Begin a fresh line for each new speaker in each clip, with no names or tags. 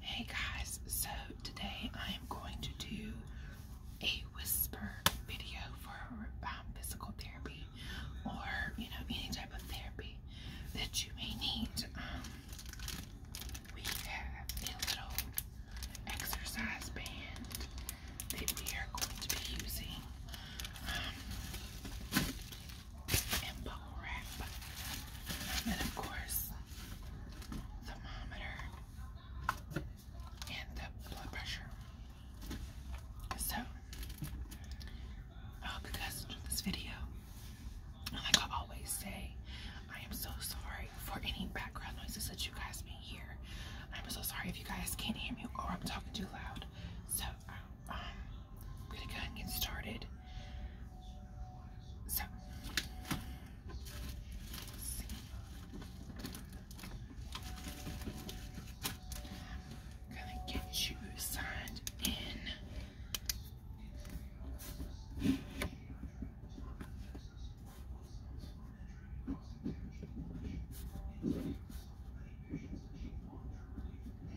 Hey guys, so today I am going to do a whisper video for um, physical therapy or you know any type of therapy that you may need. Um, we have a little exercise band that we are going to be using. Um, and bubble wrap. And of course, thermometer and the blood pressure. So, I hope you guys enjoyed this video. I always say, I am so sorry for any background noises that you guys may hear. I'm so sorry if you guys can't hear me or I'm talking too loud. So, um, I'm um, gonna go and get started. So, I'm gonna get you signed in.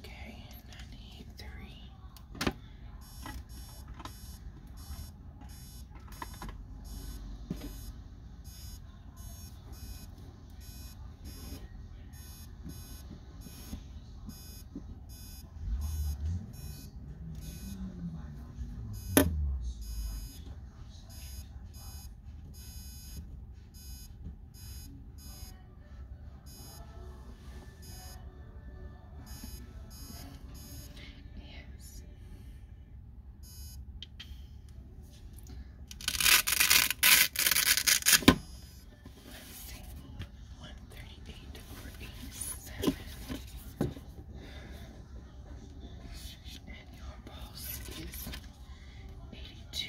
Okay, and I need three. Yes. Let's see. One thirty-eight over eighty-seven. And your boss is 82.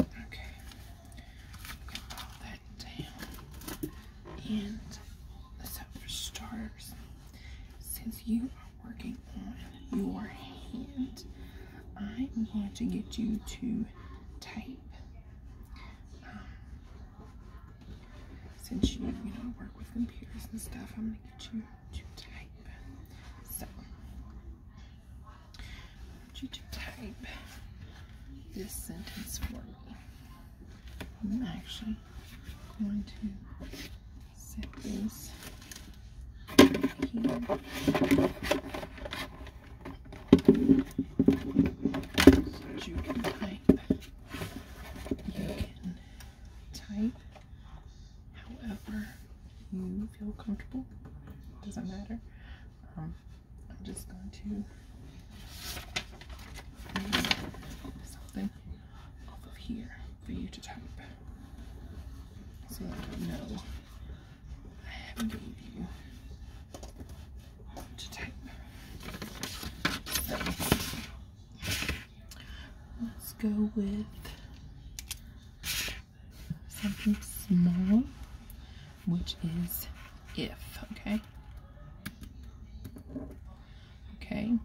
Okay, melt that down. And so for starters, since you are working on your hand, I'm going to get you to tape um, since you, you know, work with computers and stuff, I'm gonna get you to type. So, you to type this sentence for me. I'm actually going to set this here. So you can type. Type. However you feel comfortable, doesn't matter. Um, I'm just going to something off of here for you to type so that I know I have gave you to type. Let's go with something small, which is if, okay? Okay. I'm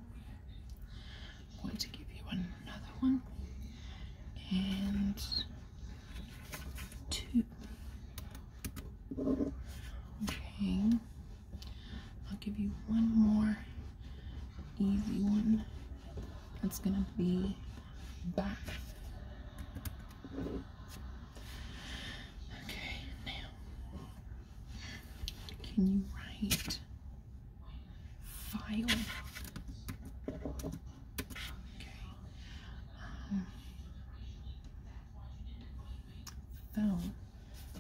going to give you another one. And two. Okay. I'll give you one more easy one. That's gonna be back. Okay, now can you write file? Okay. Um,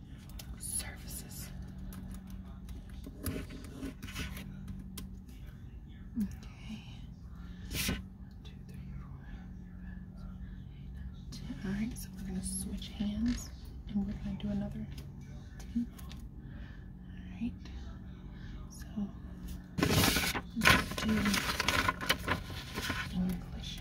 five, ten. All right, so we're gonna switch hands, and we're gonna do another All right. So let's do English.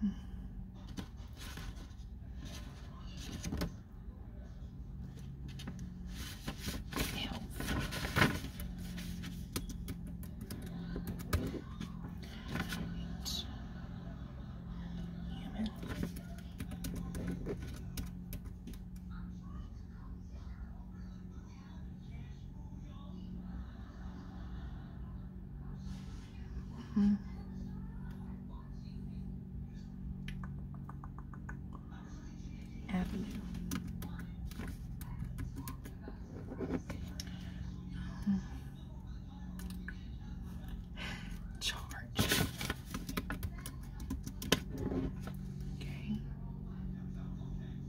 Um, health. Right. Human. Mm-hmm. Avenue. Mm. Charge. Okay.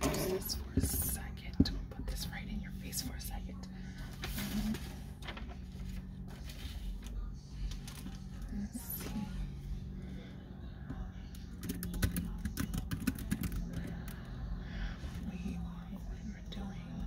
for a 2nd put this right in your face for a second. Let's see. We we're doing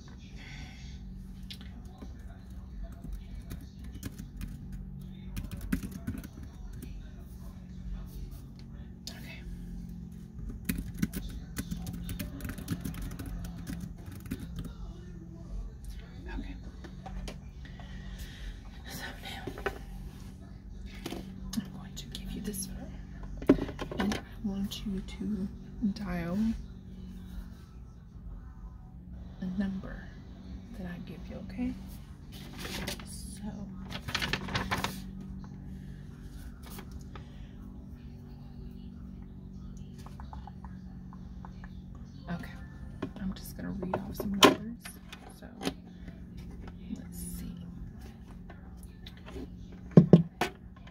Okay. Okay. So now I'm going to give you this and I want you to dial the number that I give you, okay? okay, I'm just going to read off some numbers. So, let's see.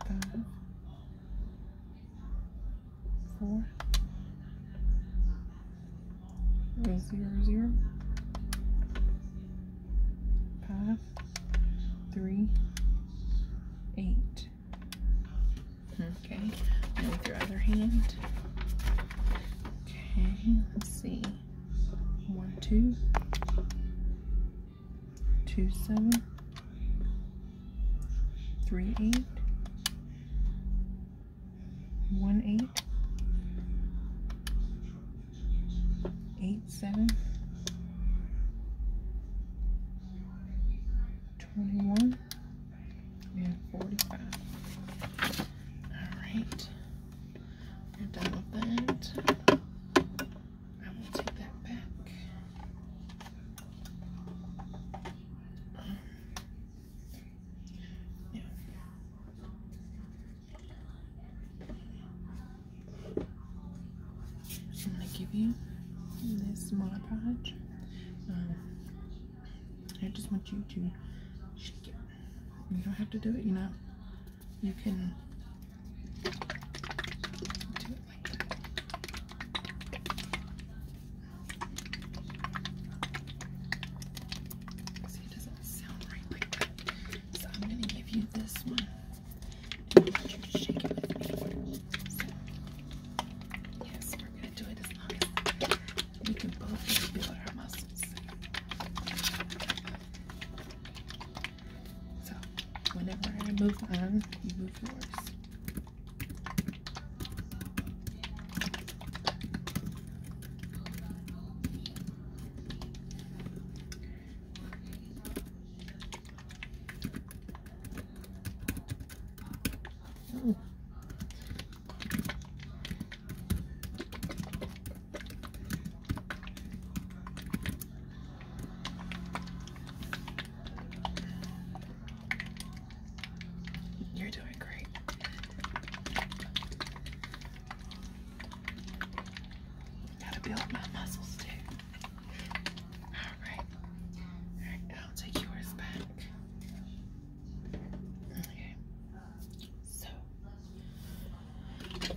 five, four, zero, zero, five, three, eight. Hmm, okay, with your other hand. Okay, let's see. One, two, two seven three eight one eight eight seven twenty one and forty five. All right, we're done with that. I will take that back. yeah. I'm gonna give you this monopod. Um, I just want you to shake it. You don't have to do it. you know you can See, it doesn't sound right So I'm going to give you this one. yes, we're going to do it as long we can both build our muscles. So whenever I move on, you move yours. You're doing great. Gotta build my muscles too. Alright. Alright, I'll take yours back. Okay. So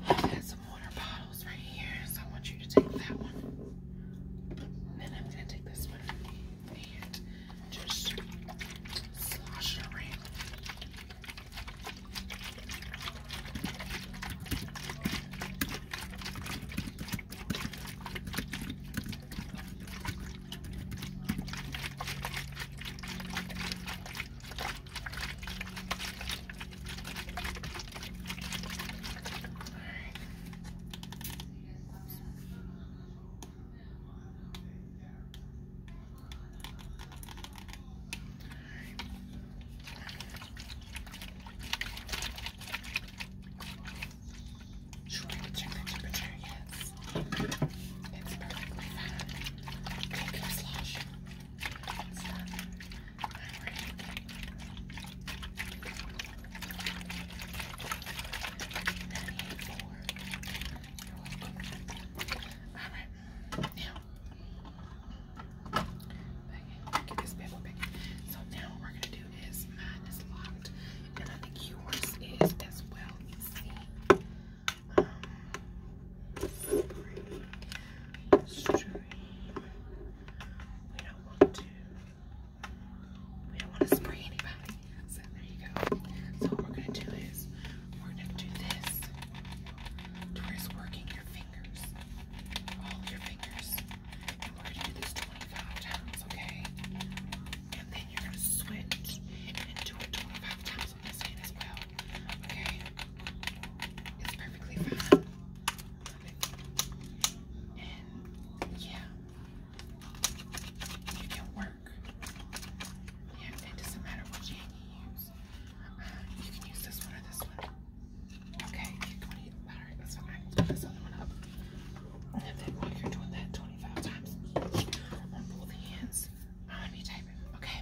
I got some water bottles right here, so I want you to take that one. Then I'm gonna take this one and just slosh it around. Sure, check the temperature, yes. It's perfectly fine. Okay, slash. It's done. Alright, now, back get this bad boy back. So, now what we're going to do is mine is locked, and I think yours is as well. Let's see. Um, spring, string, we don't want to. We don't want to spray anybody. So there you go. So what we're gonna do is we're gonna do this. To working your fingers, all your fingers. And we're gonna do this 25 times, okay? And then you're gonna switch and do it 25 times on this hand as well. Okay? It's perfectly fine. And yeah, you can work. Yeah, it doesn't matter what you use. Uh, you can use this one or this one. Okay, All right, that's fine. I can put this other one up. And then are doing that 25 times each on both hands, I'm typing. Okay.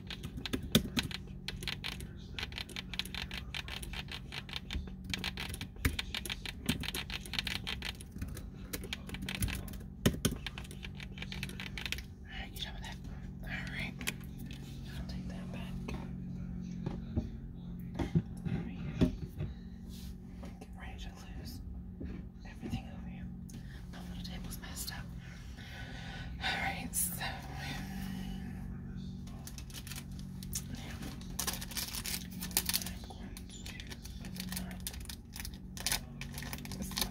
Alright, you done with that? Alright. I'll take that back. Alright. Get ready to lose everything over here. My little table's messed up. All right, so now, I'm going to up this and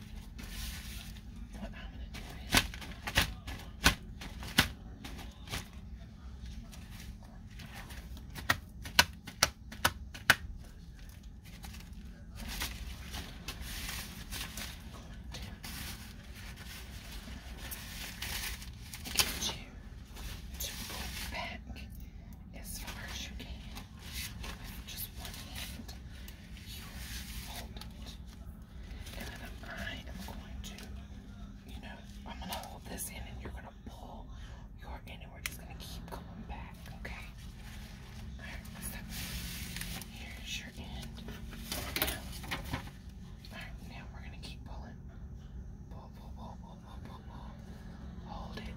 What Get you to pull back as far as you can just one hand. You hold it I am going to, you know, I'm going to hold this in and you're going to pull your in we're just going to keep going back, okay? Alright, here's your end. Alright, now we're going to keep pulling. pull, pull, pull, pull, pull, pull. Hold it.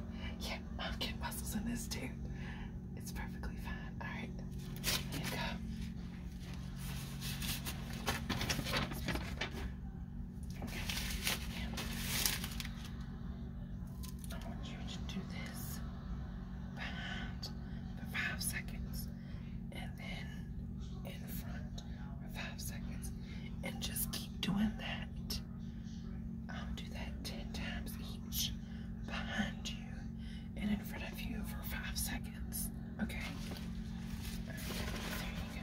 yeah, I'm getting muscles in this too. It's perfectly fine. All right, here you go. I want you to do this behind for five seconds, and then in front for five seconds, and just keep doing that. do that ten times each behind you and in front of you for five seconds. Okay? there you go.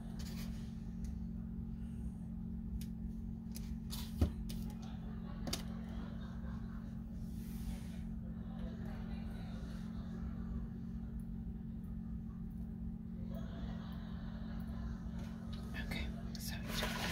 Okay, so you do that. Okay. Thank you.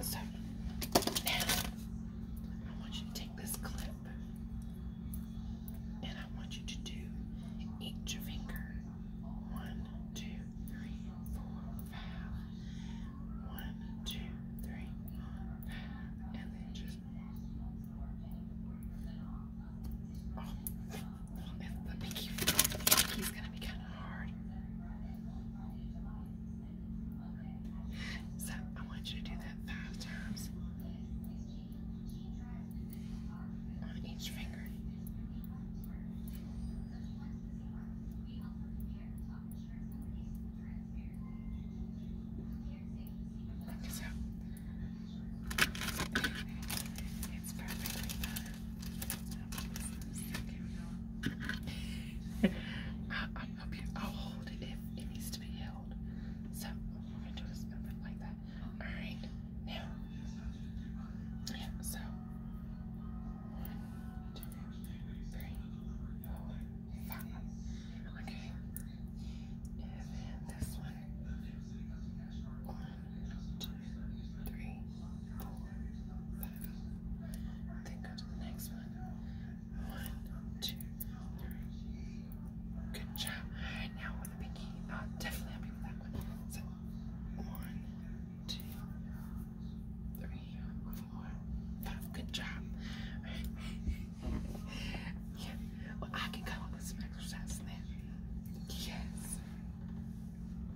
So now I want you to take this clip and I want you to do each finger. One, two, three, four, five. One, two, three, four, five. And then just. Oh, the pinky, the gonna be kind of hard. So I want you to do that five times on each finger. Okay, so it's perfectly fine. I, I'm I'll hold it if it needs to be held. So we're gonna do this movement like that. All right. Now, yeah. So one, two, three, four, five. Okay. And then this one. One, one, two, three, four, five. Then go the next one. One, two, three. Good job. Now with the pinky, uh, definitely happy with that one. So one, two, three, four, five. Good job. yeah. Well, I can come up with some exercises then. Yes.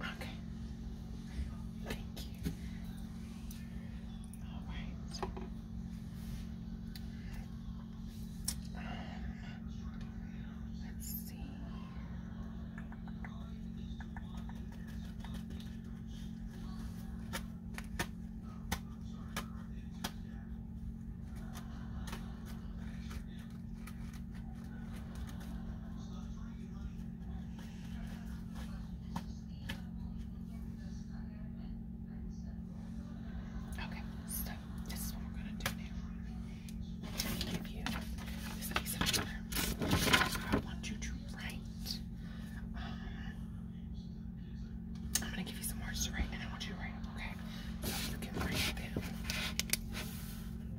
Okay. Thank you. All right. Um, let's see. Okay, so this is what we're gonna do now. I'm gonna give you this piece of paper. I want you to write. Um, I'm gonna give you some words to write, and I want you to write them. Okay, so you can write them.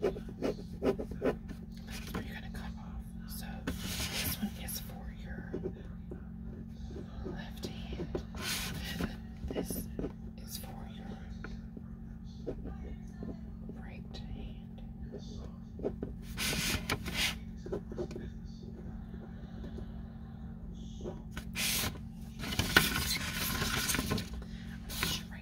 That's you gonna come off. So this one is for your left hand. This is for your right hand. i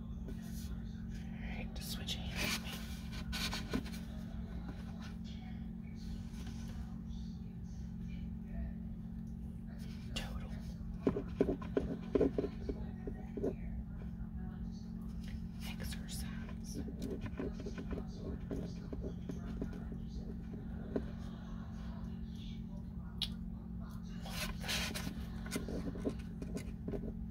Alright, switch hands me. Total. Exercise.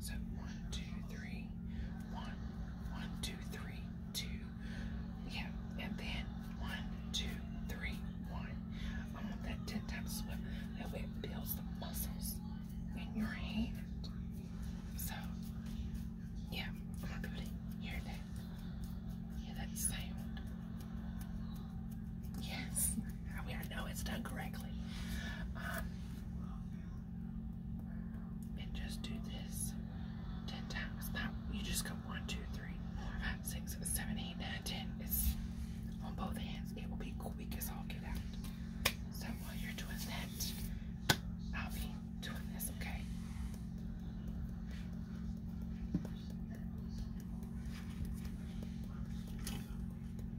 So one, two, three, one, one, two, three, two. Yeah, and then one, two, three, one. I want that 10 times swift. That way it builds the muscles in your hand. So, yeah, I'm going here. That, yeah, that sound. Yes, I mean, know it's done correctly. Um, and just do this 10 times. you just go one, two, three, four, five, six, seven, eight, nine, ten. It's on both hands. It will be quick as all get out. So while you're doing that, I'll be doing this, okay?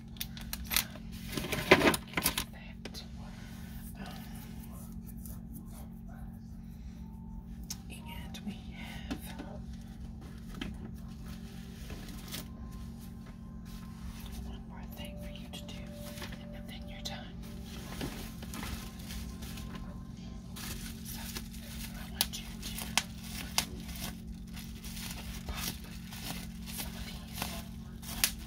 that. Um, and we have one more thing for you to do, and then you're done. So, I want you to pop some of these.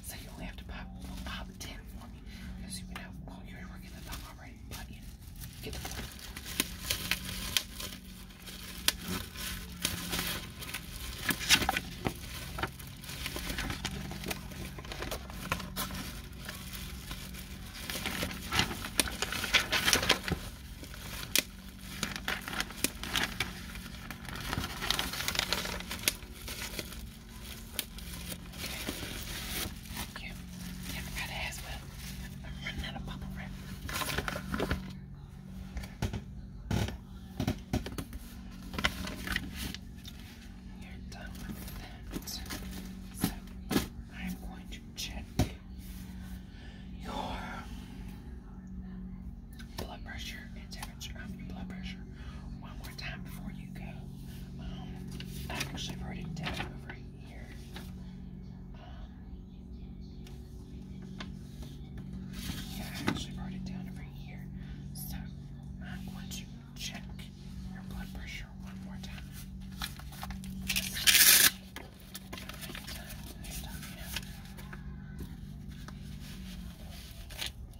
So you only have to pop, pop 10 for me. Because you know, you're working the top already, but you get the point. Okay. Yeah, I forgot to ask what. I'm running out of bubble wrap. You're done with that. So I'm going to check your blood pressure temperature, blood pressure, one more time before you go. Um, I actually wrote it down over here. Um, yeah, I actually wrote it down over here. So I'm going to check your blood pressure one more time.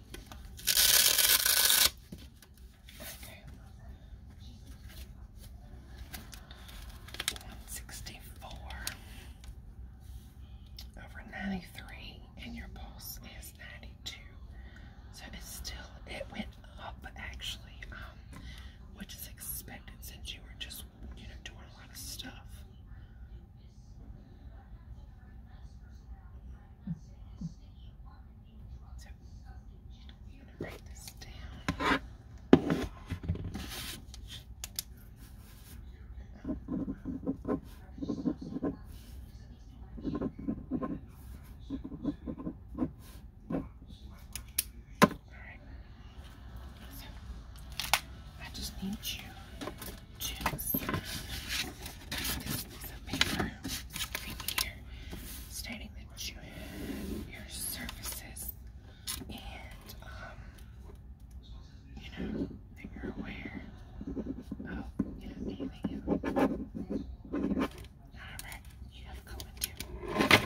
164 over 93 and your pulse is 92 so it's still it went up actually um, which is expected since you were just you know doing a lot of stuff I just need you juice. This piece of paper stating that you your services and, um, you know, that you're aware of, anything Alright, you have going to.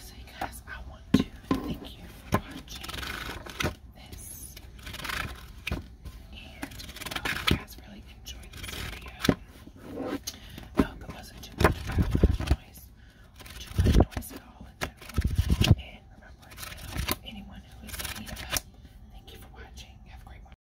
So you guys, I want to thank you for watching this. And I um, hope you guys really enjoyed this video. I hope it wasn't too much background noise or too much noise at all in general. And remember to help anyone who is in need of help. Thank you for watching. Have a great one.